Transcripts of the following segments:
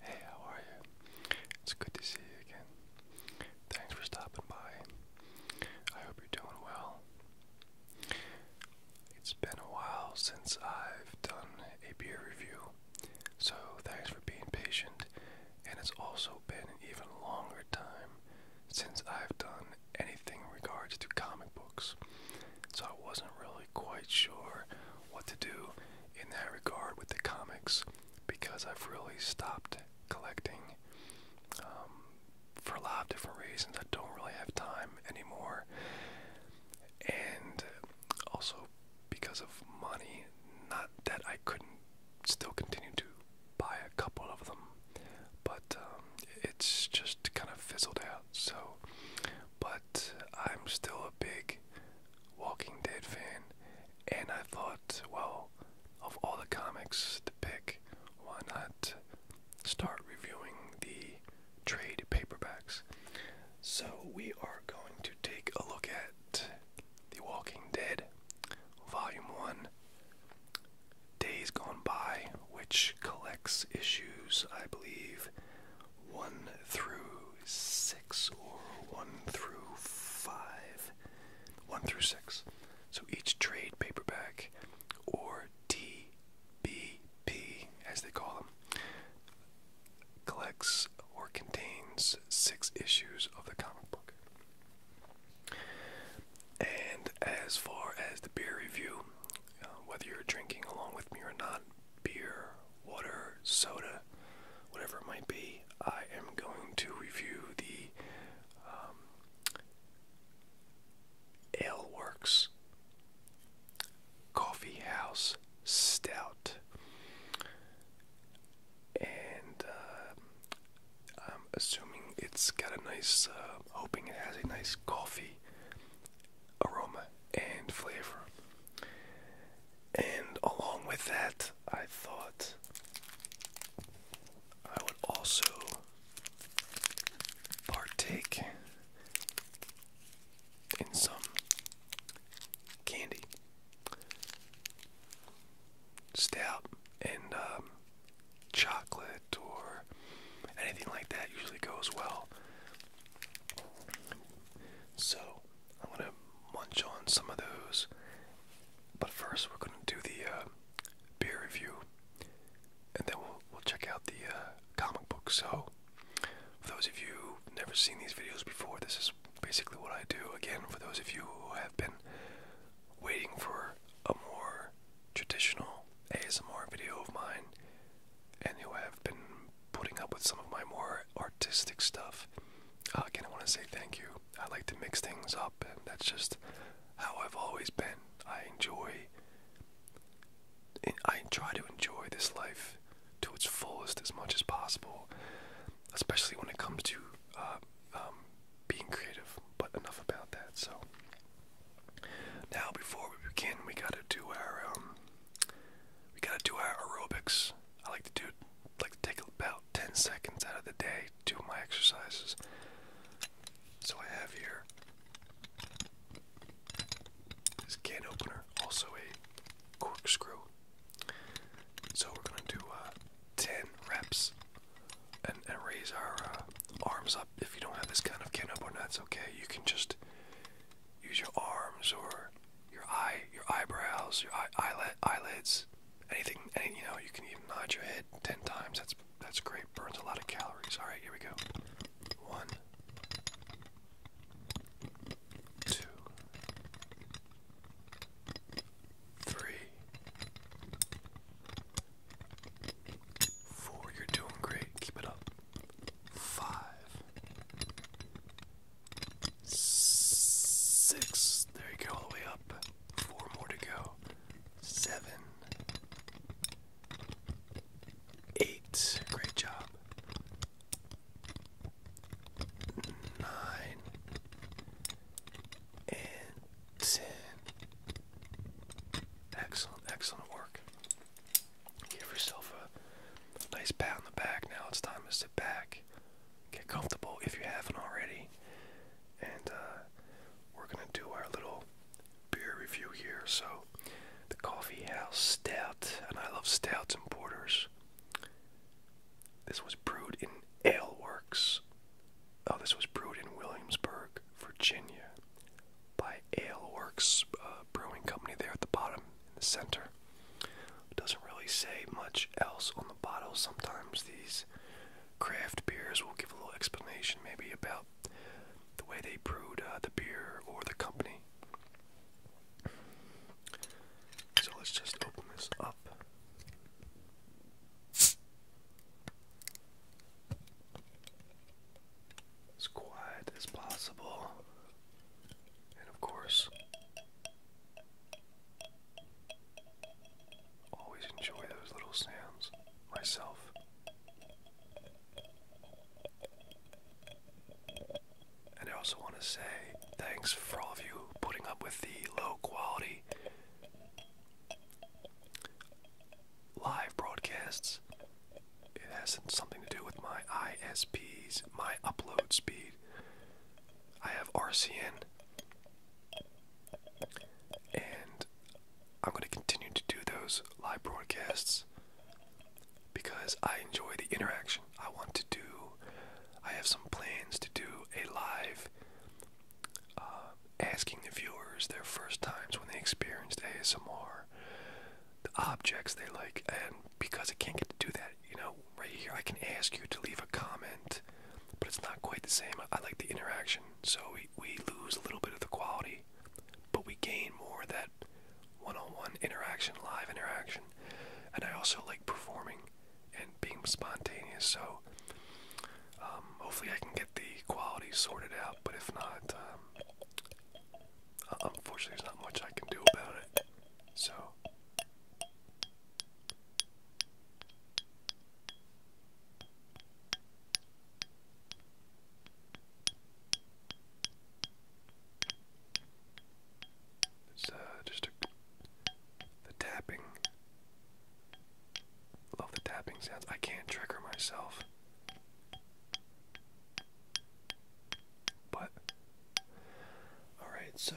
Hey, how are you? It's good to see you again. Thanks for stopping by. I hope you're doing well. It's been a while since I've done a beer review, so thanks for being patient. And it's also been an even longer time since I've done anything in regards to comic books, so I wasn't really quite sure what to do in that regard with the comics because I've really stopped collecting um, for a lot of different reasons. I don't really have time anymore, and also because of money. Not that I couldn't still continue to buy a couple of them, but um, it's just kind of fizzled out. So, but I'm still a big Walking Dead fan, and I thought, well, of all the comics to pick, why not start reviewing the trade paperbacks? So, we are going to take a look at The Walking Dead, Volume 1, Days Gone By, which collects issues, I believe, 1 through 6 or 1 through 5. 1 through 6. So each trade paperback or TBP as they call them collects or contains 6 issues of the comic book. And as far as the beer review, uh, whether you're drinking along with me or not, beer, water, soda, whatever it might be, I am going to review the um, Ale Works Coffee House Stout. And uh, I'm assuming it's got a nice, uh, hoping it has a nice coffee aroma and flavor. And along with that, I thought I would also partake in some candy. Stout and um, chocolate or anything like that usually goes well. So I'm gonna munch on some of those. But first, we're gonna do the uh, beer review, and then we'll we'll check out the uh, comic book. So, for those of you who never seen these videos before, this is basically what I do. Again, for those of you who have been waiting for a more traditional ASMR video of mine, and who have been putting up with some of my more artistic stuff. Uh, again, I want to say thank you. I like to mix things up, and that's just how I've always been. I enjoy. I try to enjoy this life to its fullest as much as possible, especially when it comes to uh, um, being creative. But enough about that. So now, before we begin, we gotta do our um, we gotta do our aerobics. I like to do like to take about 10 seconds out of the day to my exercises. So I have here this can opener, also a corkscrew. So we're gonna do uh, 10 reps and, raise our uh, arms up. If you don't have this kind of can opener, that's okay. You can just use your arms or your eye, your eyebrows, your eye, eyelid, eyelids, anything, any, you know, you can even nod your head ten times. That's that's great. Burns a lot of calories. All right, here we go. One, two, three, four. You're doing great. Keep it up. Five. Six. There you go, all the way up. Four more to go. Seven. Eight. Great job. Nine. And ten. Excellent, excellent work. Give yourself a nice pat on the back. Now it's time to sit back, Get comfortable if you haven't already. And uh, we're going to do our little beer review here. So, the Coffee House Stout, and I love stouts and porters. This was brewed in Ale Works. Oh, this was brewed in Williamsburg, Virginia, by Ale Works uh, Brewing Company there at the bottom in the center. It doesn't really say much else on the bottle. Sometimes these craft beers will give a little explanation, maybe about the way they brewed uh, the beer or the company. So let's just open this up. As quiet as possible. And of course, Always enjoy those little sounds myself. And I also want to say thanks for all of you putting up with the low quality live broadcasts. It has something to do with my ISPs, my upload speed. I have RCN. And I'm going to continue to do those live broadcasts because I enjoy the interaction. I want to do, I have some plans to do a live uh, asking the viewers their first times when they experienced ASMR, the objects they like, and because I can't get to do that you know, right here I can ask you to leave a comment, but it's not quite the same. I like the interaction, so we, we lose a little bit of the quality, but we gain more of that one on one interaction, live interaction. And I also like performing and being spontaneous, so um, hopefully I can get the quality sorted out, but if not, um, uh, unfortunately, there's not much I can do about it. So, it's uh, just the tapping. Love the tapping sounds. I can't trigger myself. But Alright, so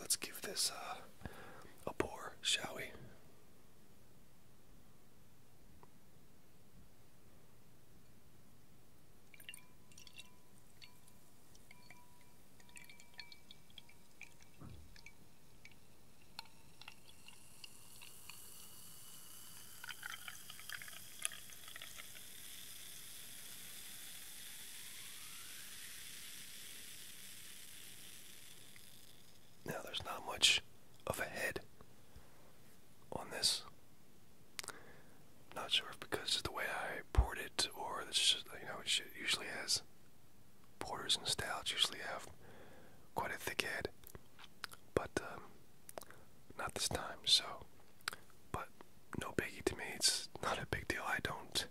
let's give this uh, a pour, shall we? Now there's not much of a head on this. Not sure if because of the way I poured it or it's just, you know it usually has porters and stouts usually have quite a thick head, but um, not this time. So but no biggie to me. It's not a big deal. I don't.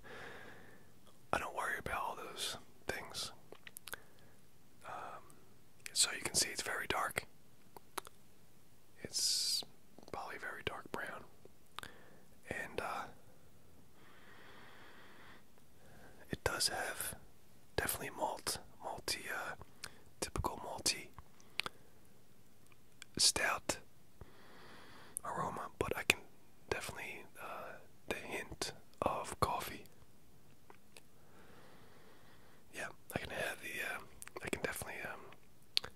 I don't worry about all those things. Um, so you can see it's very dark. It's probably very dark brown, and uh, it does have definitely malt, malty, uh, typical malty stout aroma, but I can definitely uh, the hint of coffee. Yeah, I can have the. Uh, I can definitely um,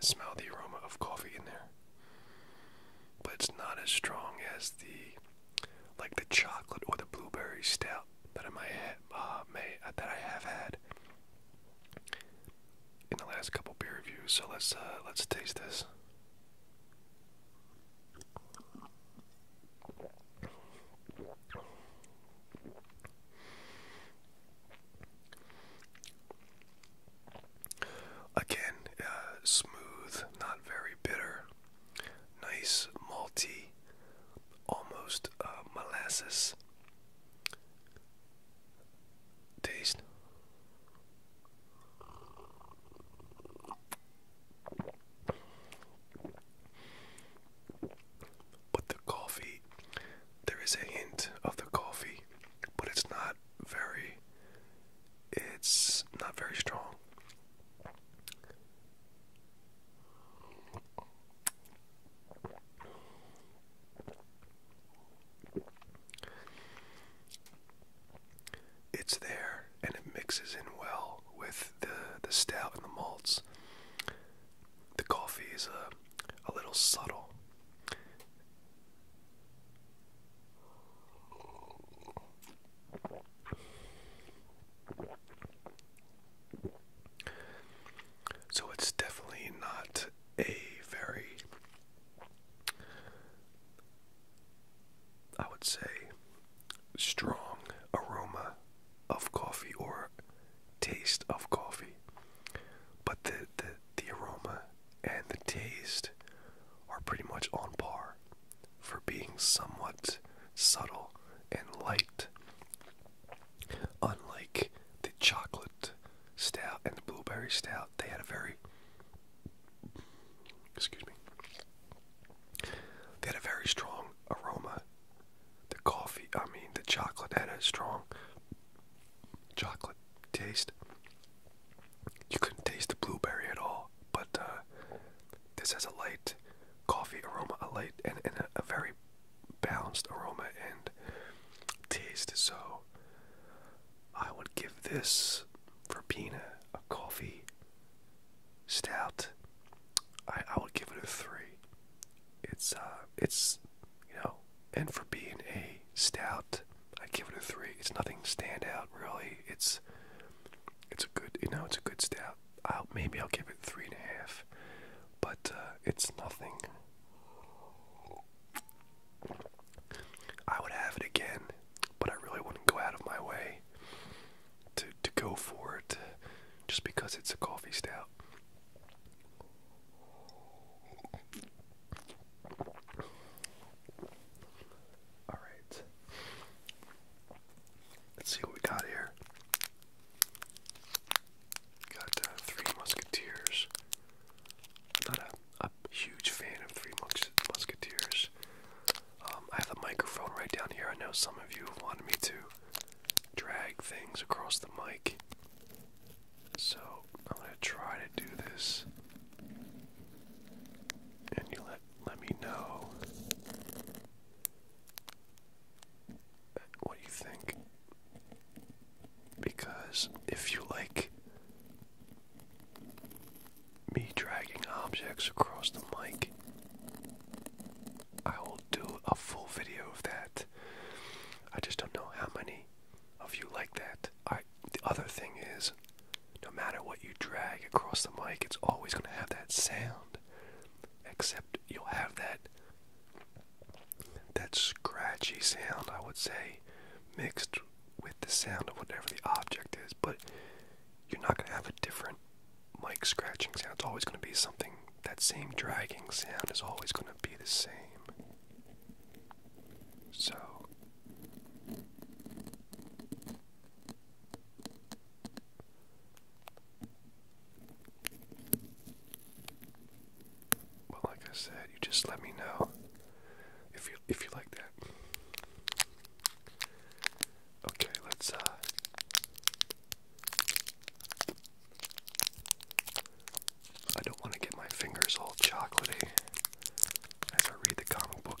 smell the aroma of coffee in there, but it's not as strong as the like the chocolate or the blueberry stout that I uh, may uh, that I have had in the last couple beer reviews. So let's uh, let's taste this. Again, smooth, not very bitter nice malty, almost uh, molasses taste. But the coffee, there is a hint of the coffee, but it's not very, it's not very strong. It's there and it mixes in well with the, the stout and the malts. The coffee is a, a little subtle. So it's definitely not a very, I would say, strong aroma of coffee or taste of coffee. But the, the, the aroma and the taste are pretty much on par for being somewhat subtle and light Unlike the chocolate stout and the blueberry stout, they had a very excuse me. They had a very strong aroma. The coffee, I mean, the chocolate had a strong chocolate taste. You couldn't taste the blueberry at all, but uh, this has a light coffee aroma, a light and, a, very balanced aroma and taste. So I would give this for being a coffee stout. I, I would give it a three. It's uh it's you know and for being a stout, I'd give it a three. It's nothing stand out really. It's it's a good you know, it's a good stout. I'll, maybe I'll give it three and a half, but uh, it's nothing. I would have it again, but I really wouldn't go out of my way to to go for it, just because it's a coffee stout. All right, let's see what we got here. Got uh, Three Musketeers. Not a, huge fan of Three Musketeers. Um, I have the microphone right down here. I know some of you have wanted me to drag things across the mic. So I'm going to try to do this. And you let, let me know what do you think. Because if you like me dragging objects across the mic, I will do a full video of that. I just don't know how many of you like that. I the other thing is no matter what you drag across the mic, it's always going to have that sound. Except you'll have that that scratchy sound, I would say, mixed with the sound of whatever the object is, but you're not going to have a different mic scratching sound. It's always going to be something, that same dragging sound is always going to be the same. So. Well, like I said, you just let me know if you if you like that. Okay, let's uh, I don't want to get my fingers all chocolaty as I read the comic book.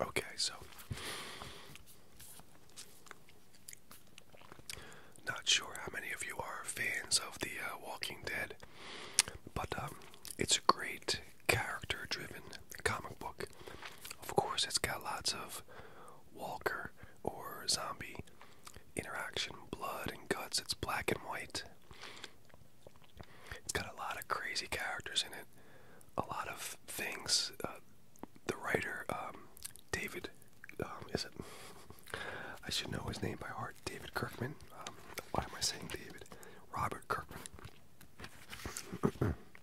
Okay, so not sure how many of you are fans of The uh, Walking Dead, but um, it's a great character driven comic book. Of course, it's got lots of walker or zombie interaction, blood and guts. It's black and white. It's got a lot of crazy characters in it, a lot of things. Uh, the writer, um, David, um, is it? I should know his name by heart. David Kirkman. Um, why am I saying David? Robert Kirkman.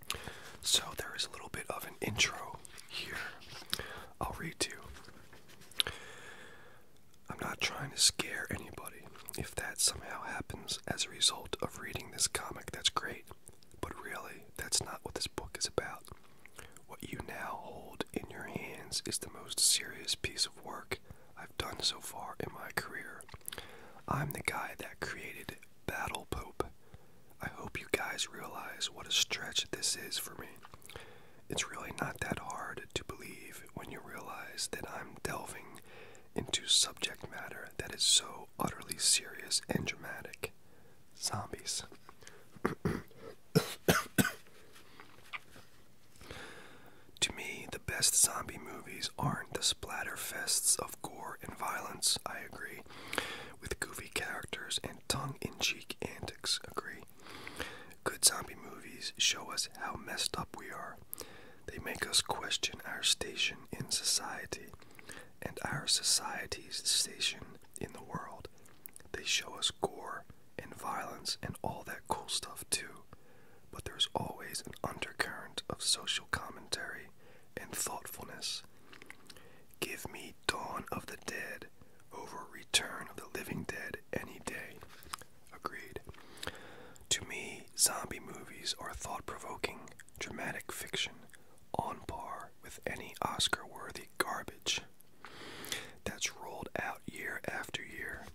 So there is a little bit of an intro here. I'll read to you. I'm not trying to scare anybody. If that somehow happens as a result of reading this comic, that's great. But really, that's not what this book is about. What you now hold in your hands is the most serious piece of work I've done so far in my career. I'm the guy that created it. Battle Pope. I hope you guys realize what a stretch this is for me. It's really not that hard to believe when you realize that I'm delving into subject matter that is so utterly serious and dramatic zombies. to me, the best zombie movies aren't the splatterfests of gore and violence, I agree, with goofy characters and tongue in cheek antics, agree? Good zombie movies show us how messed up we are. They make us question our station in society and our society's station in the world. They show us gore and violence and all that cool stuff, too. But there's always an undercurrent of social commentary and thoughtfulness. Give me Dawn of the Dead over Return of the Living Dead any day. Agreed. To me, zombie movies are thought provoking, dramatic fiction on par with any Oscar worthy garbage that's rolled out year after year.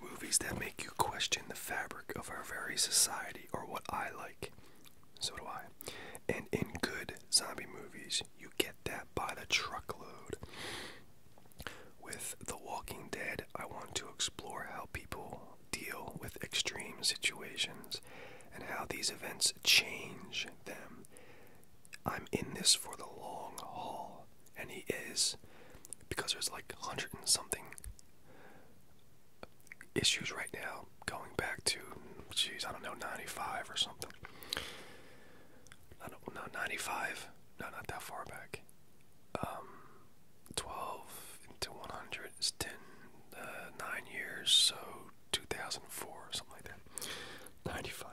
Movies that make you question the fabric of our very society Or what I like. So do I. And in good zombie movies, you get that by the truckload. With The Walking Dead, I want to explore how people deal with extreme situations and how these events change them. I'm in this for the long haul, and he is because there's like hundred and something issues right now, going back to, geez, I don't know, 95 or something. I don't know, 95. No, not that far back. Um, 12 into 100 is 10, uh, years, so 2004, or something like that. 95.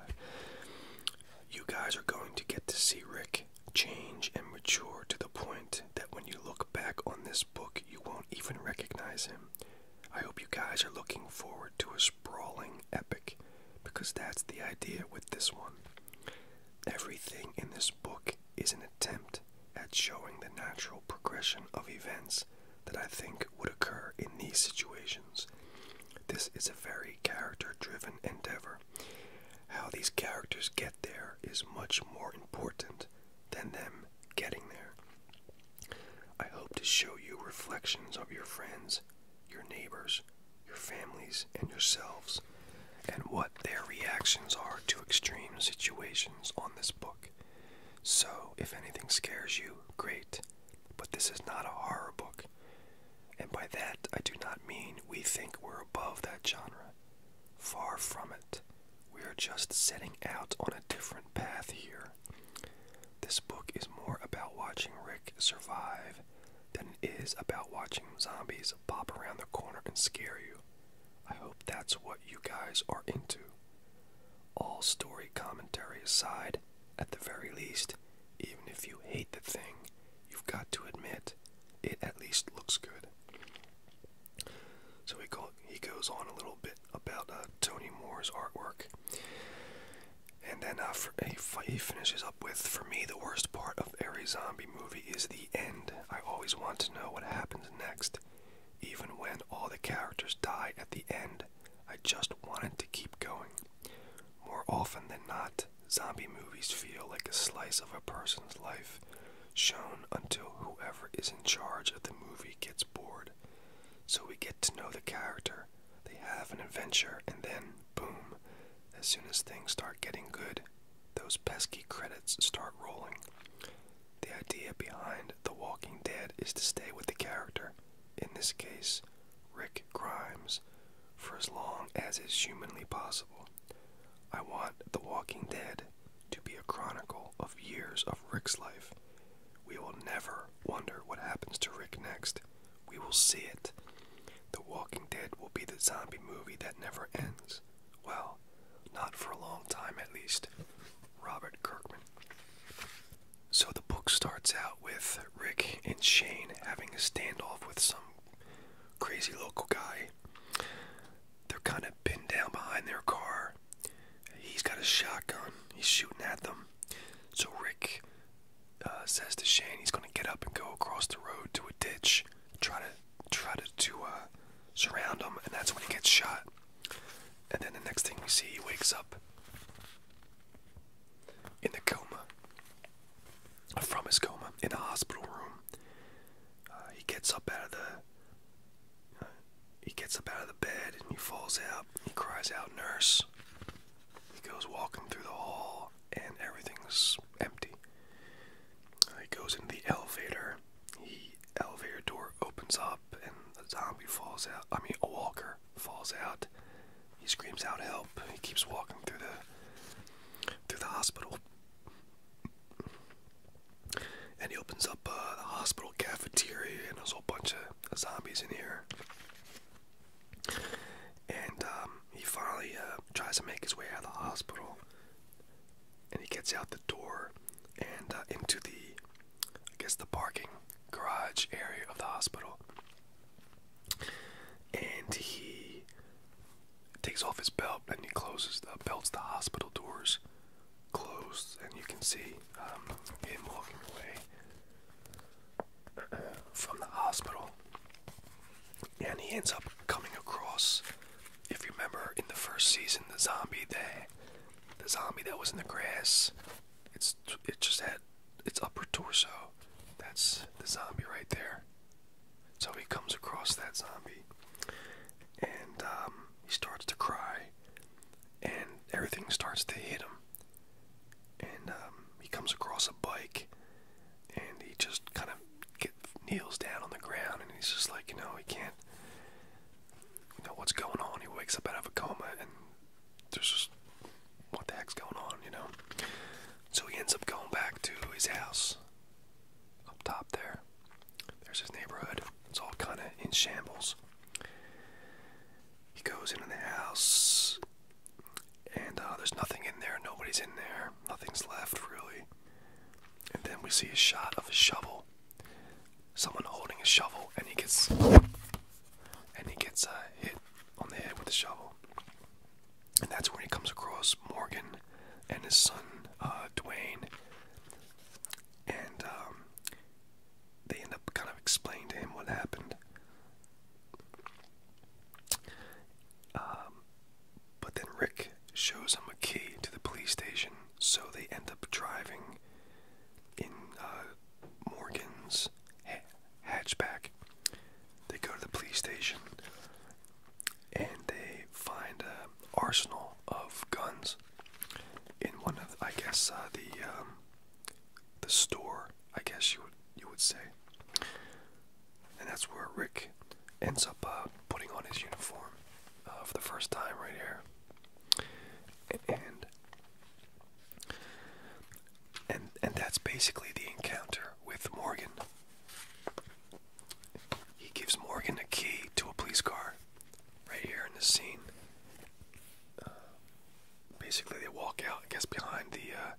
You guys are going to get to see Rick change and mature to the point that when you look back on this book, you won't even recognize him. I hope you guys are looking forward to a sprawling epic because that's the idea with this one. Everything in this book is an attempt at showing the natural progression of events that I think would occur in these situations. This is a very character driven endeavor. How these characters get there is much more important than them getting there. I hope to show you reflections of your friends, your neighbors, your families, and yourselves, and what their reactions are to extreme situations on this book. So, if anything scares you, great, but this is not a horror book. And by that, I do not mean we think we're above that genre. Far from it. We are just setting out on a different path here. This book is more about watching Rick survive than it is about watching zombies pop around the corner and scare you. I hope that's what you guys are into. All story commentary aside, at the very least, even if you hate the thing, you've got to admit it at least looks good. So he, goes on a little bit about uh, Tony Moore's artwork. And then uh, he, he finishes up with For me, the worst part of every zombie movie is the end. I always want to know what happens next. Even when all the characters die at the end, I just wanted to keep going. More often than not, zombie movies feel like a slice of a person's life shown until whoever is in charge of the movie gets bored. So we get to know the character, they have an adventure, and then, boom, as soon as things start getting good, those pesky credits start rolling. The idea behind The Walking Dead is to stay with the character, in this case, Rick Grimes, for as long as is humanly possible. I want The Walking Dead to be a chronicle of years of Rick's life. We will never wonder what happens to Rick next. We will see it. The Walking Dead will be the zombie movie that never ends. Well, not for a long time at least. Robert Kirkman. So the book starts out with Rick and Shane having a standoff with some crazy local guy. They're kind of pinned down behind their car. He's got a shotgun. He's shooting at them. So Rick uh, says to Shane he's going to get up and go across the road to a ditch, try to try to, to uh, surround him, and that's when he gets shot. And then the next thing we see, he wakes up in the coma, from his coma in a hospital room. Uh, he gets up out of the he gets up out of the bed and he falls out. He cries out, Nurse. He goes walking through the hall and everything's empty. he goes into the elevator. The elevator door opens up and the zombie falls out. I mean, a walker falls out. He screams out, Help. He keeps walking through the, through the hospital. And he opens up uh, the hospital cafeteria, and there's a whole bunch of zombies in here. And um, he finally uh, tries to make his way out of the hospital. And he gets out the door and uh, into the, I guess, the parking garage area of the hospital. And he takes off his belt and he closes the uh, belts the hospital doors closed and you can see him um, walking away from the hospital. And he ends up coming across, if you remember in the first season, the zombie that the zombie that was in the grass. It's it just had its upper torso. That's the zombie right there. So he comes across that zombie, and um, he starts to cry, and everything starts to hit him and um, he comes across a bike, and he just kind of kneels down on the ground, and he's just like, you know, he can't, you know, what's going on? He wakes up out of a coma, and there's just what the heck's going on, you know? So he ends up going back to his house up top there. There's his neighborhood. It's all kind of in shambles. He goes into the house, and uh, there's nothing in there. Nobody's in there. Nothing's left, really. And then we see a shot of a shovel. Someone holding a shovel, and he gets and he gets uh, hit on the head with a shovel. And that's when he comes across Morgan and his son, uh, Dwayne. And um, they end up kind of explaining to him what happened. Um, but then Rick shows him a key to the police station, so they end up driving in uh, Morgan's hatchback. They go to the police station and they find an arsenal of guns in one of, I guess, uh, the um, the store, I guess you would you would say. And that's where Rick ends up uh, putting on his uniform uh, for the first time right here. And and and that's basically the encounter with Morgan. He gives Morgan a key to a police car, right here in the scene. Uh, basically they walk out, I guess, behind the uh,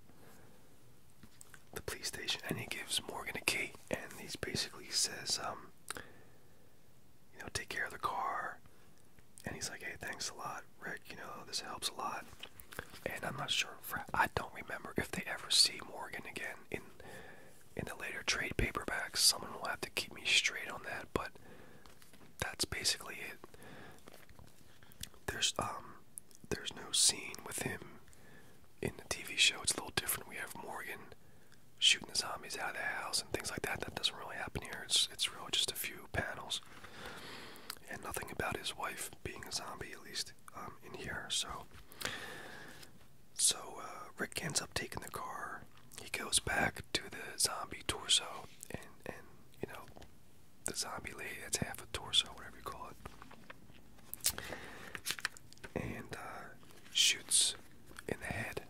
the police station, and he gives Morgan a key, and he basically says, um, you know, take care of the car, and he's like, hey, thanks a lot, Rick. You know, this helps a lot. And I'm not sure. I don't remember if they ever see Morgan again in in the later trade paperbacks. Someone will have to keep me straight on that. But that's basically it. There's um there's no scene with him in the TV show. It's a little different. We have Morgan shooting the zombies out of the house and things like that. That doesn't really happen here. It's it's really just a few panels. And nothing about his wife being a zombie, at least um, in here. So, so uh, Rick ends up taking the car. He goes back to the zombie torso and and you know the zombie leg. that's half a torso, whatever you call it, and uh, shoots in the head,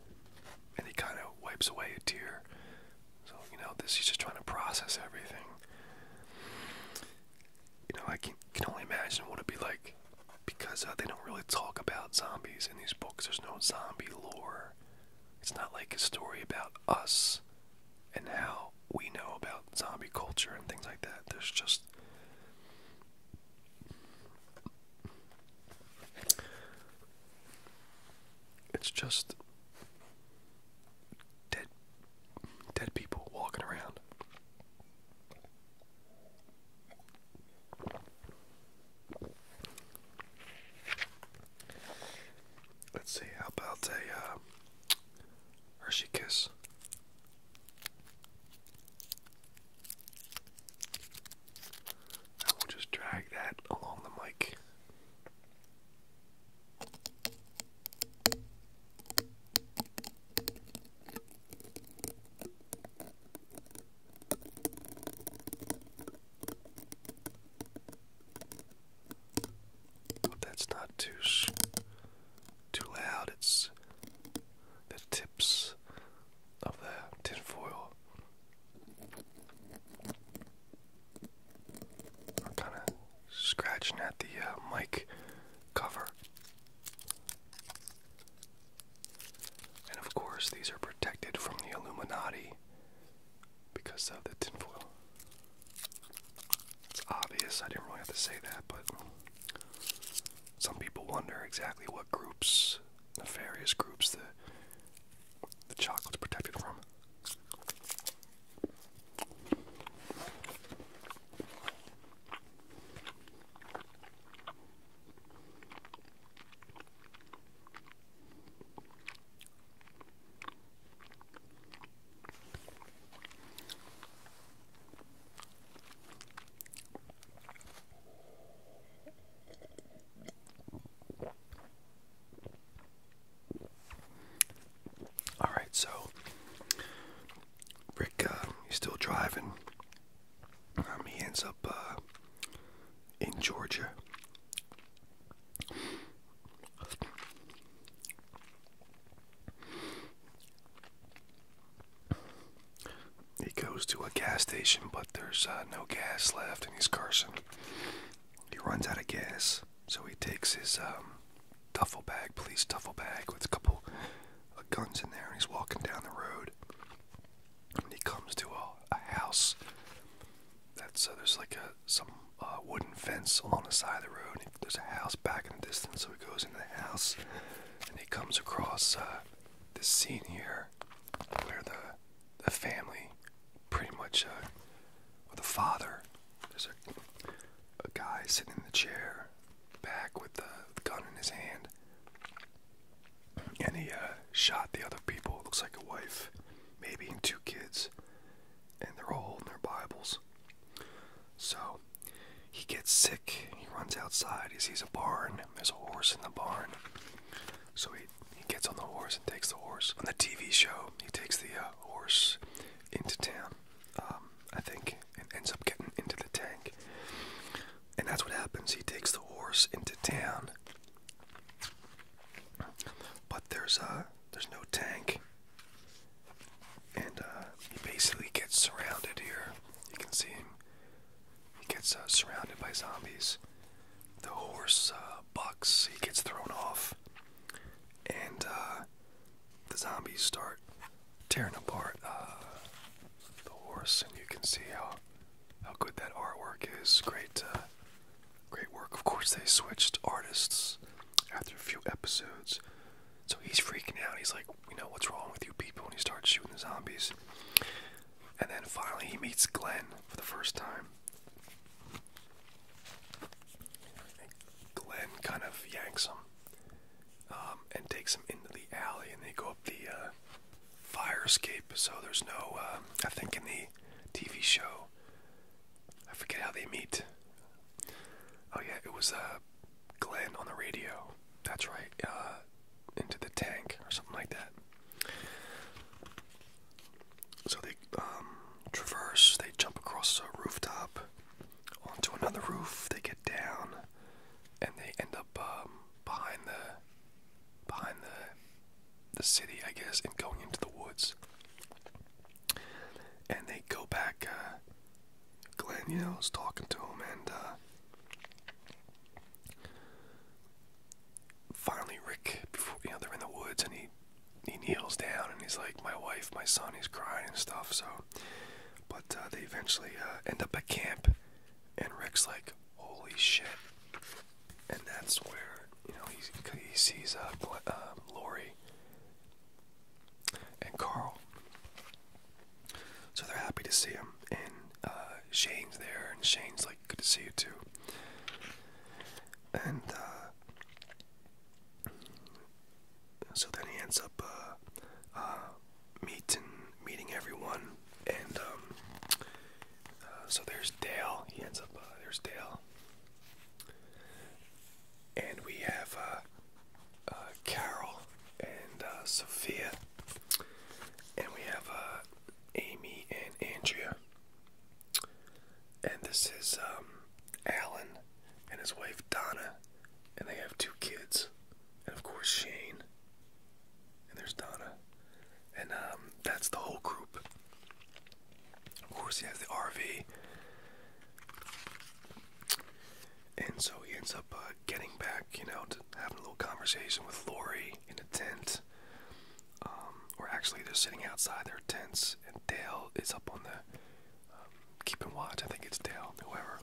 and he kind of wipes away a tear. So you know this he's just trying to process everything. You know I can can only imagine what it'd be like because uh, they don't really talk about zombies in these books. There's no zombie lore. It's not like a story about us and how we know about zombie culture and things like that. There's just it's just dead dead people walking around. Let's see, how about a uh, Hershey Kiss? I will just drag that along the mic. Hope that's not too too loud. It's the tips of the tinfoil are kind of scratching at the uh, mic cover. And of course, these are protected from the Illuminati because of the tinfoil. It's obvious, I didn't really have to say that, but some people wonder exactly what groups, nefarious groups, the, the chocolate's protected from. All right, so Rick, uh, he's still driving. Um, he ends up uh, in Georgia, he goes to a gas station, but there's uh, no gas left, and he's cursing. He runs out of gas, so he takes his um, duffel bag, police duffel bag, with a couple of guns in there, and he's walking down the road. And he comes to a, house that's uh, there's like a some uh, wooden fence along the side of the road. And there's a house back in the distance, so he goes into the house, and he comes across uh, this scene here where the the family, pretty much, uh, or the father, there's a a guy sitting in the chair, back with the gun in his hand, and he uh, shot the other people. Looks like a wife maybe, and two kids, and they're all holding their Bibles. So he gets sick. He runs outside. He sees a barn. There's a horse in the barn. So he, he gets on the horse and takes the horse. On the TV show, he takes the uh, horse into town, um, I think, and ends up getting into the tank. And that's what happens. He takes the horse into town but there's uh there's no tank, and uh, he basically gets surrounded here. You can see him. He gets uh, surrounded by zombies. The horse uh, bucks. He gets thrown off, and the zombies start tearing apart the horse. And you can see how how good that artwork is. Great, Great work. Of course, they switched artists after a few episodes. So he's freaking out. He's like, "We know, what's wrong with you people? And he starts shooting the zombies. And then finally, he meets Glenn for the first time. Glenn kind of yanks him um, and takes him into the alley, and they go up the uh, fire escape. So there's no, uh, I think in the TV show, I forget how they meet. Oh yeah, it was a uh, Glenn on the radio. That's right. Uh, into the tank or something like that. So they um, traverse. They jump across a rooftop onto another roof. They get down, and they end up um, behind the behind the the city, I guess, and going into the woods. And they go back. Uh, Glenn, you know, is talking to him, and uh, finally Rick, before, you know, they're in the woods, and he he kneels down, and he's like, "My wife, my son," he's crying and stuff. So, but uh, they eventually end up at camp, and Rick's like, "Holy shit." and that's where you know he, he sees uh, uh, Lori and Carl. So they're happy to see him, and uh, Shane's there, and Shane's like, "Good to see you too." And uh, so then he ends up uh, meeting meeting everyone, and um, so there's Dale. He ends up there's Dale. And we have uh, uh, Carol and uh, Sophia. And we have Amy and Andrea. And this is um, Alan and his wife Donna. And they have two kids. And of course, Shane. And there's Donna and um, that's the whole group. Of course, he has the RV, and so he ends up uh, getting back, you know, to having a little conversation with Lori in a tent. Um, or actually, they're sitting outside their tents, and Dale is up on the um, keeping watch. I think it's Dale, whoever.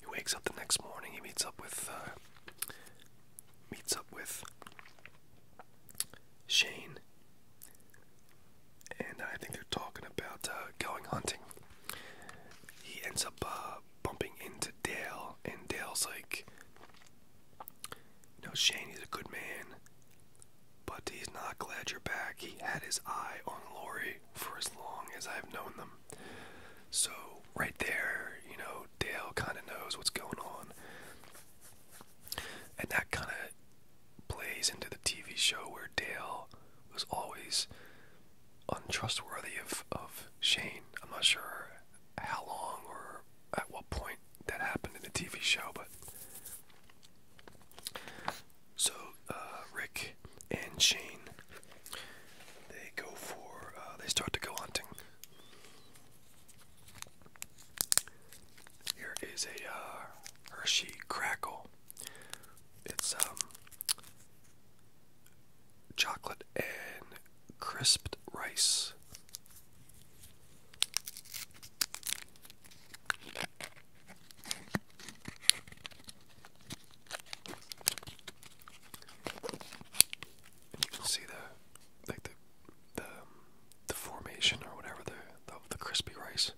He wakes up the next morning. He meets up with uh, meets up with Shane and I think they're talking about uh, going hunting. He ends up uh, bumping into Dale, and Dale's like, "You know, Shane, is a good man, but he's not glad you're back. He had his eye on Lori for as long as I've known them." So right there, you know, Dale kind of knows what's going on. And that kind of plays into the TV show where Dale was always untrustworthy of, of Shane. I'm not sure how long or at what point that happened in the TV show, but. So uh, Rick and Shane, they go for, uh, they start to go hunting. Here is a uh, Hershey Crackle. It's um chocolate and crisped rice. you can see the like the the the formation or whatever the the crispy rice.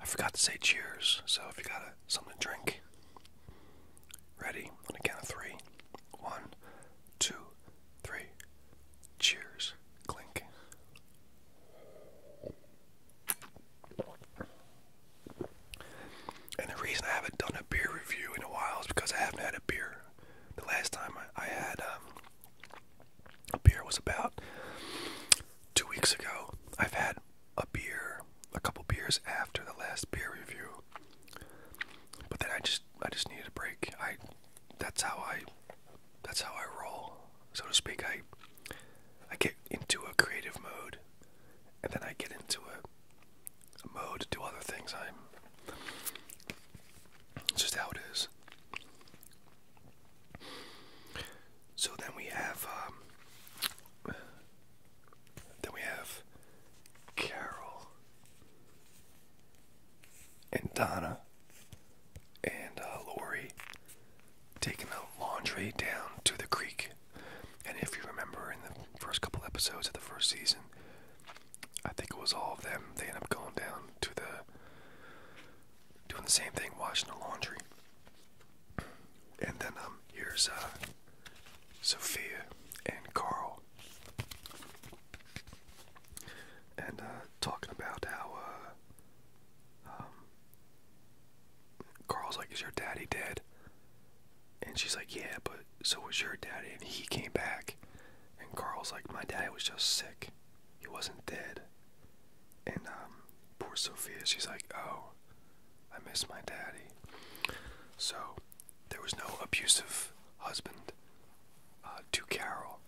I forgot to say cheers, so if you got something to drink, ready on a count of three. One, Cheers. Clink. And the reason I haven't done a beer review in a while is because I haven't had a beer. The last time I, had um, a beer was about two weeks ago. I've had a beer, a couple beers after the last beer review, but then I just I just needed a break. I that's how I that's how I roll, so to speak. I I get into a creative mode, and then I get into a mode to other things. I'm just how it is. So then we have um, then we have Carol and Donna and uh, Lori taking the laundry down to the creek. And if you remember in the first couple episodes of the first season, I think it was all of them. They end up going down to the doing the same thing, washing the laundry. And then um, here's uh, Sophia and Carl, and uh, talking about how uh, um, Carl's like, "Is your daddy dead?" And she's like, Yeah, but so was your daddy. And he came back. And Carl's like, My daddy was just sick. He wasn't dead. And um, poor Sophia, she's like, Oh, I miss my daddy. So there was no abusive husband uh, to Carol,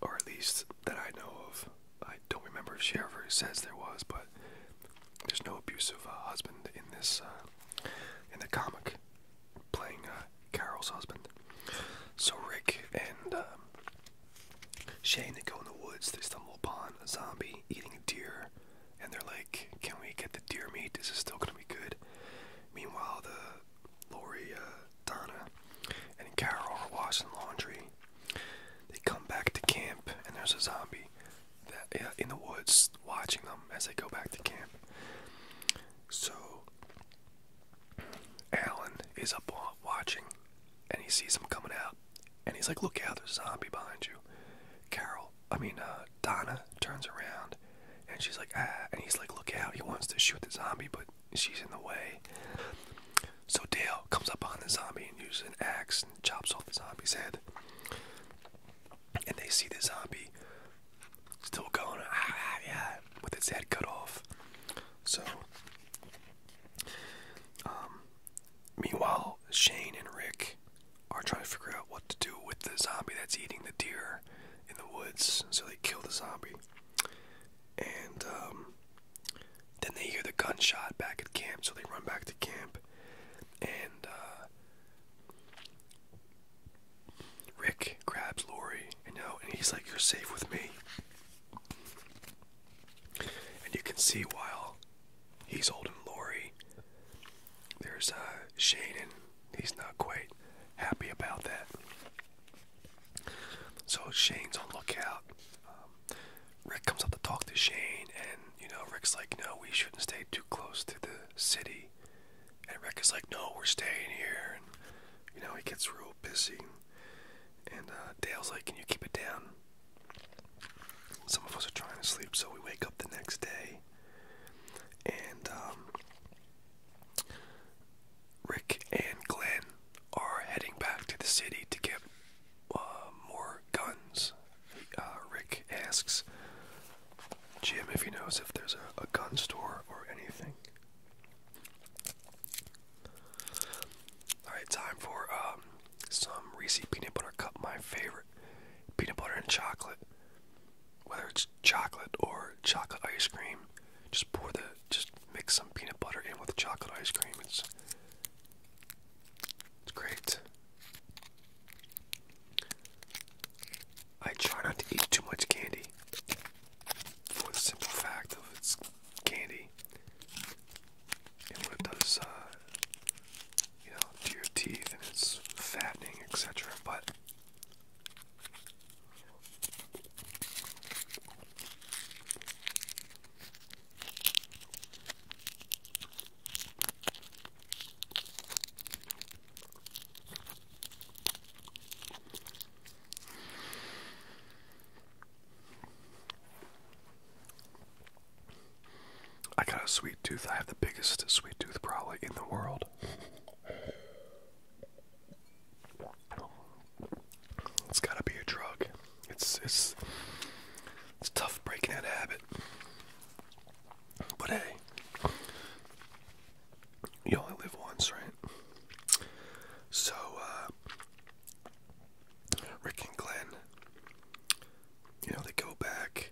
or at least that I know of. I don't remember if she ever says there was, but there's no abusive uh, husband in this uh, in the comic playing uh, Carol's husband. So Rick and um, Shane they go in the woods. They stumble upon a zombie eating a deer, and they're like, "Can we get the deer meat? Is it still gonna be good?" Meanwhile, the Lori, Donna, and Carol are washing laundry. They come back to camp, and there's a zombie that, in the woods watching them as they go back to camp. So Alan is up watching and he sees them coming out and he's like, Look out, there's a zombie behind you. Carol, I mean, uh, Donna turns around and she's like, Ah, and he's like, Look out, he wants to shoot the zombie, but she's in the way. So Dale comes up on the zombie and uses an axe and chops off the zombie's head and they see the zombie still going ah, ah, with its head cut off. So, um, meanwhile, Shane and Rick are trying to figure out what to do with the zombie that's eating the deer in the woods. So they kill the zombie, and um, then they hear the gunshot back at camp. So they run back to camp, and uh, Rick grabs Lori, you know, and he's like, You're safe with me. And you can see while he's holding Lori, there's a uh, Shane, and he's not quite happy about that. So Shane's on lookout. Um, Rick comes up to talk to Shane, and you know, Rick's like, No, we shouldn't stay too close to the city. And Rick is like, no, we're staying here. And, you know, he gets real pissy. And uh, Dale's like, can you keep it down? Some of us are trying to sleep, so we wake up the next day. And um, Rick and Glenn are heading back to the city to get uh, more guns. Uh, Rick asks Jim if he knows if there's a, gun store or anything. Alright, time for um, some Reese peanut butter cup, my favorite. Peanut butter and chocolate. Whether it's chocolate or chocolate ice cream, just pour the, just mix some peanut butter in with chocolate ice cream. It's, it's great. I try not to eat too much candy for the simple fact of it's candy. it does, uh, you know, to your teeth and it's fattening, etc. But I got a sweet tooth. I have the biggest sweet tooth probably in the world. It's gotta be a drug. It's it's it's tough breaking that habit. But hey, you only live once, right? So, uh, Rick and Glenn, you know, they go back,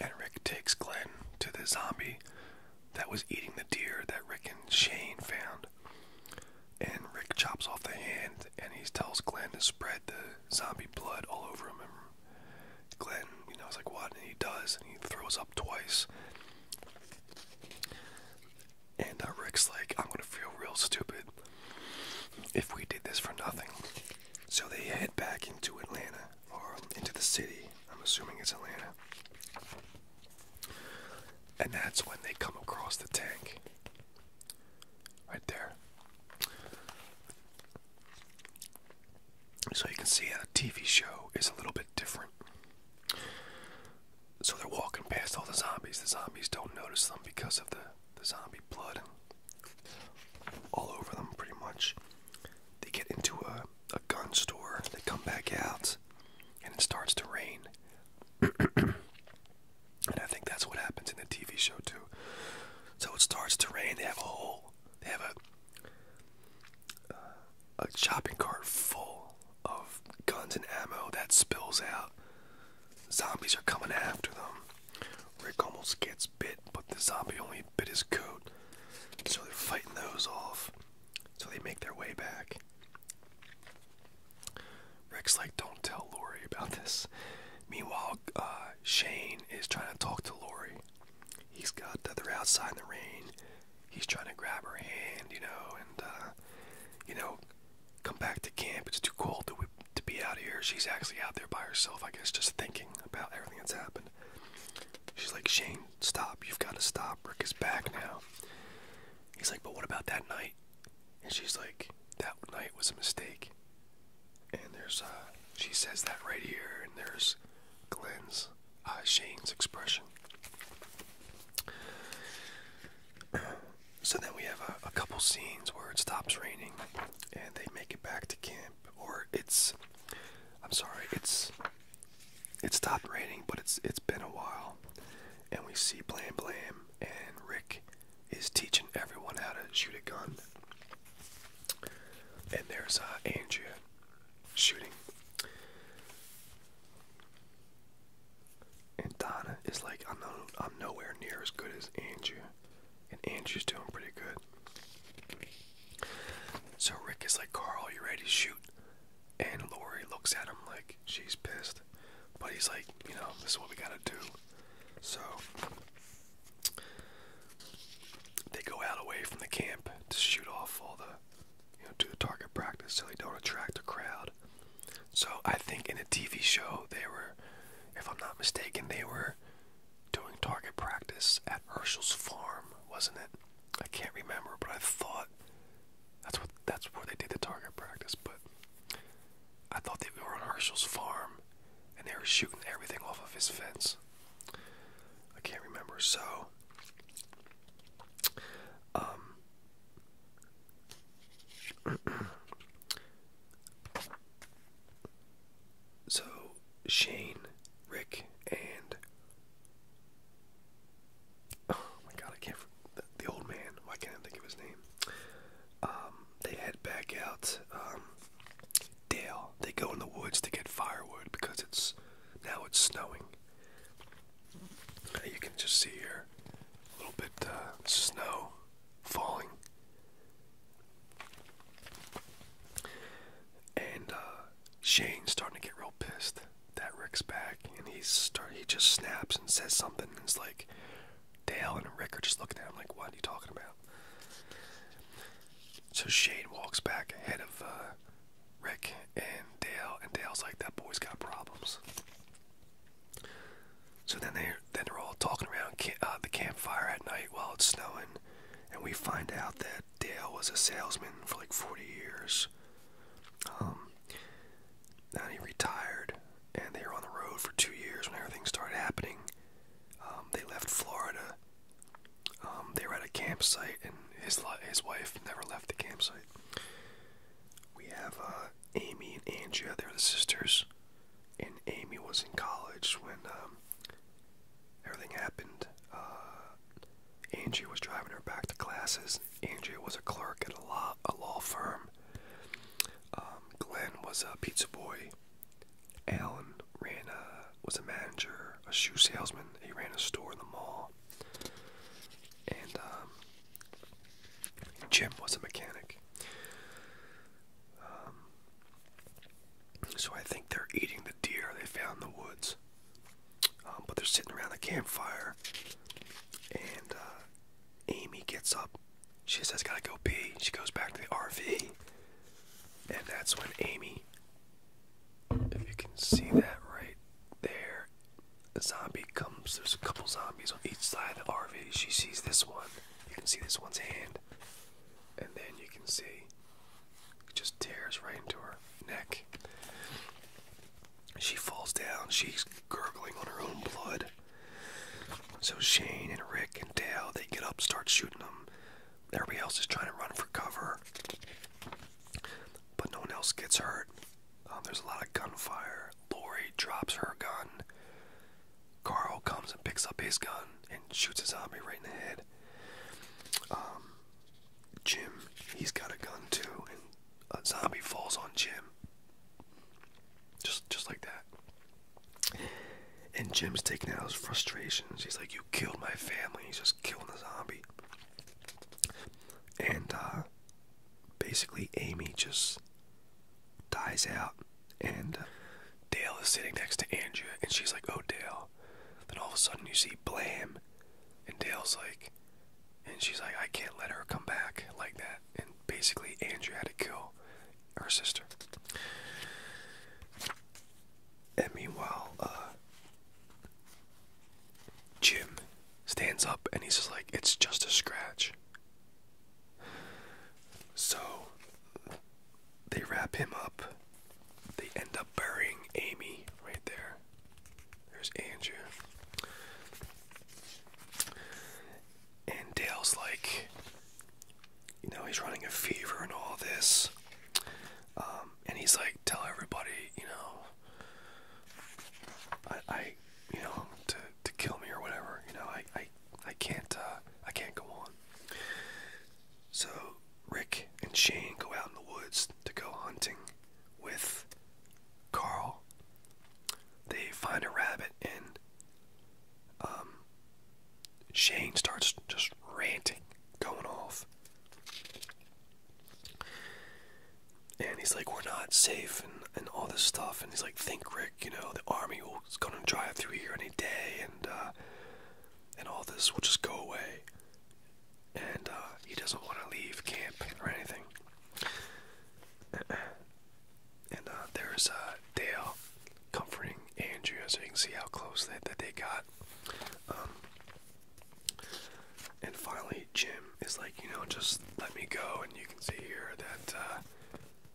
and Rick takes Glenn to the zombie that was eating the deer that Rick and Shane found. And Rick chops off the hand and he tells Glenn to spread the zombie blood all over him Glenn, you know, is like, what? And he does, and he throws up twice. And uh, Rick's like, I'm gonna feel real stupid if we did this for nothing. So they head back into Atlanta, or um, into the city. I'm assuming it's Atlanta. And that's when they come across the tank. Right there. So you can see how the TV show is a little bit different. So they're walking past all the zombies. The zombies don't notice them because of the, the zombie blood all over them, pretty much. They get into a, a gun store, they come back out, and it starts to rain. and I think that's what happens in the TV show, too. So it starts to rain, they have a whole they have a a shopping cart full of guns and ammo that spills out. Zombies are coming after them. Rick almost gets bit, but the zombie only bit his coat. So they're fighting those off. So they make their way back. Rick's like, don't tell Lori about this. Meanwhile, uh, Shane is trying to talk to Lori. He's got uh, they're outside in the rain. He's trying to grab her hand, you know, and uh, you know, come back to camp. It's too cold to to be out here. She's actually out there by herself, I guess, just thinking about everything that's happened. She's like, Shane, stop. You've got to stop. Rick is back now. He's like, but what about that night? And she's like, that night was a mistake. And there's, uh, she says that right here, and there's Glenn's, uh, Shane's expression. So then we have a, a couple scenes where it stops raining and they make it back to camp. Or it's, I'm sorry, it's, it stopped raining, but it's, it's been a while. And we see Blam Blam and Rick is teaching everyone how to shoot a gun. And there's uh, Andrea shooting. And Donna is like, I'm, I'm nowhere near as good as Andrea. And Andrea's doing pretty good. So Rick is like, Carl, you ready to shoot? And Lori looks at him like she's pissed. But he's like, you know, this is what we gotta do. So they go out away from the camp to shoot off all the, you know, do the target practice so they don't attract a crowd. So I think in a TV show they were, if I'm not mistaken, they were doing target practice at Herschel's farm, wasn't it? I can't remember, but I thought that's what that's where they did the target practice. But I thought they were on Herschel's farm, and they were shooting everything off of his fence. I can't remember. So, um, so Shane, Rick, and oh my God, I can't. The, old man. Why can't I think of his name? Um, they head back out. Um, Dale. They go in the woods to get firewood because it's now it's snowing. You can just see here a little bit uh, snow falling. And uh, Shane's starting to get real pissed that Rick's back, and he's start he just snaps and says something, and it's like Dale and Rick are just looking at him like, "What are you talking about?" So Shane walks back ahead of uh, Rick and Dale, and Dale's like, "That boy's got problems." So then they then are all talking around uh, the campfire at night while it's snowing, and we find out that Dale was a salesman for like 40 years. Um, now he retired, and they were on the road for two years when everything started happening. Um, they left Florida um, they were at a campsite, and his his wife never left the campsite. We have uh, Amy and Andrea; they're the sisters. And Amy was in college when um, everything happened. Uh, Andrea was driving her back to classes. Andrea was a clerk at a law a law firm. Um, Glenn was a pizza boy Alan ran a, was a manager, a shoe salesman. He ran a store in the mall. And um, Jim was a mechanic. Um, so I think they're eating the deer they found in the woods. Um, but they're sitting around the campfire. And uh, Amy gets up. She says, gotta go pee. She goes back to the RV. And that's when Amy, if you can see that right there, a zombie comes. There's a couple zombies on each side of the RV. She sees this one. You can see this one's hand. And then you can see it just tears right into her neck. She falls down. She's gurgling on her own blood. So Shane and Rick and Dale, they get up, start shooting them. Everybody else is trying to run for cover, but no one else gets hurt. Um, there's a lot of gunfire. Lori drops her gun. Carl comes and picks up his gun and shoots a zombie right in the head. Um, Jim, he's got a gun too, and a zombie falls on Jim. Just, just like that. And Jim's taking out his frustrations. He's like, You killed my family. He's just killing the zombie. And uh, basically, Amy just dies out. And uh, Dale is sitting next to Andrea, and she's like, Oh, Dale. Then all of a sudden, you see Blam. And Dale's like, And she's like, I can't let her come back like that. And basically, Andrea had to kill her sister. And meanwhile, uh, Jim stands up and he's just like, it's just a scratch. So they wrap him up. They end up burying Amy right there. There's Andrew. And Dale's like, you know, he's running a fever and all this. Um, and he's like, tell everybody, you know, I, you know, to, to kill me or whatever, you know, I, I, I can't, uh, I can't go on. So Rick and Shane go out in the woods to go hunting with Carl. They find a rabbit and, um, Shane starts just ranting, going off. And he's like, we're not safe and, and all this stuff. And he's like, think, Rick, you know, the army will, is going to drive through here any day and, uh, and all this will just go away. And uh, he doesn't want to leave camp or anything. and uh, there's uh, Dale comforting Andrea. So you can see how close that, that they got. Um, and finally, Jim is like, you know, just let me go. And you can see here that uh,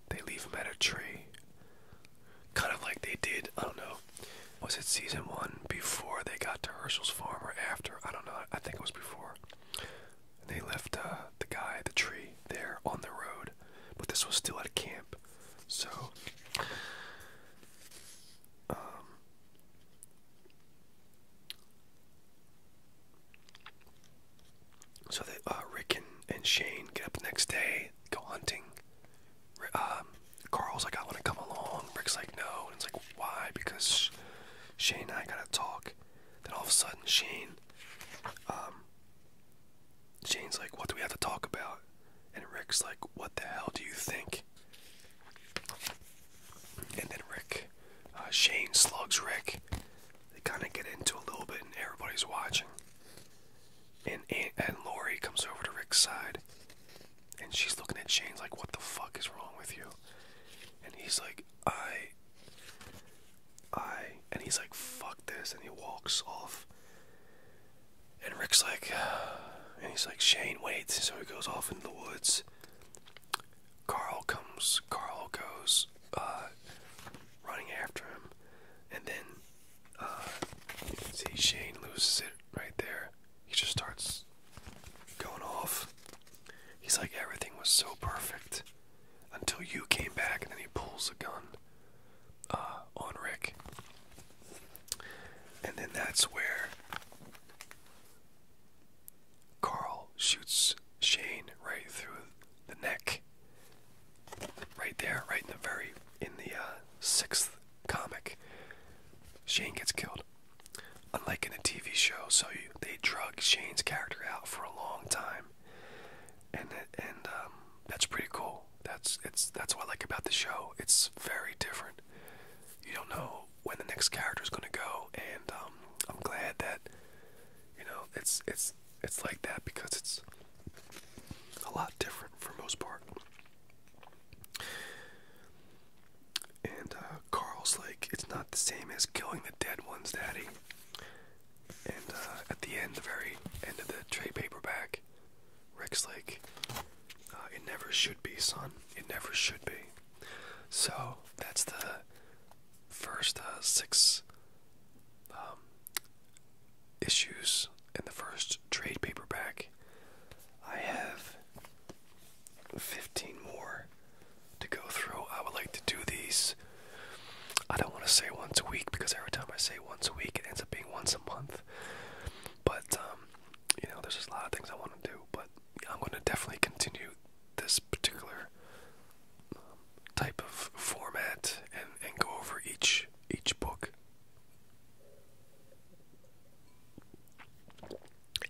they leave him at a tree. Kind of like they did, I don't know, was it season one before they got to Herschel's farm or after? I don't know, I think it was before. they left uh, the guy, the tree, there on the road. But this was still at camp. So, um, so they, uh, Rick and, and Shane get up the next day, go hunting. Um, Carl's like, I want to come along. Rick's like, no. And it's like, why? Because Shane and I gotta talk. Then all of a sudden, Shane, um, Shane's like, What do we have to talk about? And Rick's like, What the hell do you think? And then Rick, uh, Shane slugs Rick. They kind of get into a little bit, and everybody's watching. And and Lori comes over to Rick's side, and she's looking at Shane's like, "What the fuck is wrong with you?" And he's like, "I, I," and he's like, "Fuck this," and he walks off. And Rick's like, and he's like, Shane, wait. So he goes off into the woods. Carl comes, Carl goes uh, running after him. And then uh, you can see Shane loses it right there. He just starts going off. He's like, everything was so perfect until you came back, and then he pulls a gun. Uh, on Rick. And then that's where Carl shoots Shane right through the neck. Right there, right in the very in the uh, sixth comic, Shane gets killed. Unlike in the TV show, so they drug Shane's character out for a long time, and and um, that's pretty cool. That's it's that's what I like about the show. It's very different. You don't know when the next character is going to go, and um, I'm glad that you know it's it's it's like that because it's a lot different for most part. And uh, Carl's like, it's not the same as killing the dead ones, Daddy. And uh, at the end, the very end of the trade paperback, back. Rick's like, uh, it never should be, son. It never should be. So that's the first uh, six um, issues in the first trade paperback. I have 15 more to go through. I would like to do these. I don't want to say once a week because every time I say once a week, it ends up being once a month. But um, you know, there's just a lot of things I want to do. But I'm going to definitely continue this particular um, type of format and and go over each each book.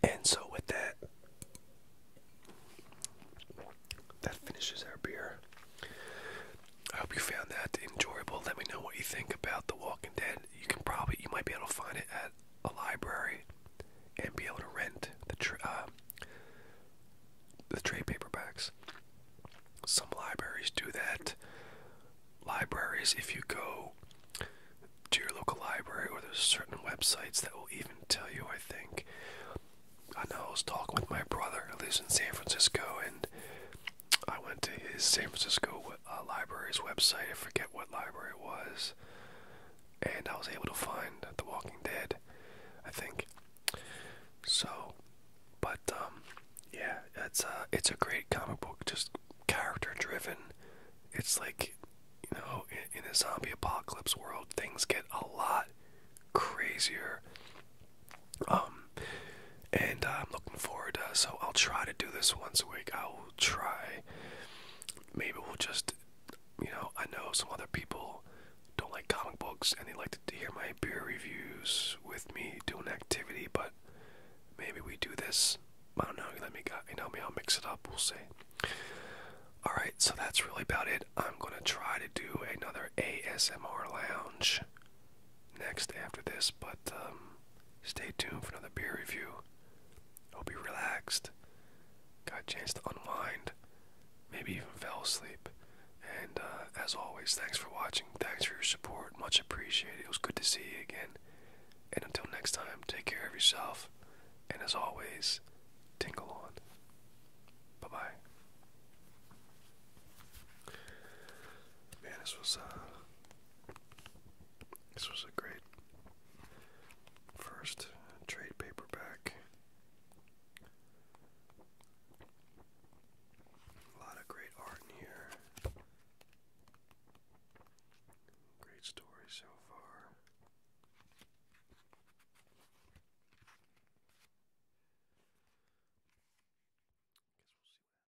And so with that, that finishes our beer. I hope you found that enjoyable. Let me know what you think about The Walking Dead. You can probably, you might be able to find it at a library and be able to rent the tra uh, the trade paperbacks. Some libraries do that. Libraries, if you go to your local library, or there's certain websites that will even tell you. I think. I know I was talking with my brother who lives in San Francisco, and I went to his San Francisco uh, library's website. I forget what library it was, and I was able to find The Walking Dead. I think so, but um, yeah, it's a uh, it's a great comic book. Just character driven. It's like you know, in, in a zombie apocalypse world, things get a lot crazier. Um, and uh, I'm looking forward. to, uh, so I'll try to do this once a week. I will try. Maybe we'll just, you know, I know some other people don't like comic books and they like to, hear my beer reviews with me doing activity. But maybe we do this. I don't know. Let me, you know, maybe I'll mix it up. We'll see. All right. So that's really about it. I'm gonna try to do another ASMR lounge next after this, but um, stay tuned for another beer review. I'll be relaxed, got a chance to unwind, maybe even fell asleep. And uh, as always, thanks for watching, thanks for your support, much appreciated. It was good to see you again. And until next time, take care of yourself, and as always, tingle on. Bye bye. Man, this was uh this was a great first trade paperback. A lot of great art in here. Great story so far. Guess we'll see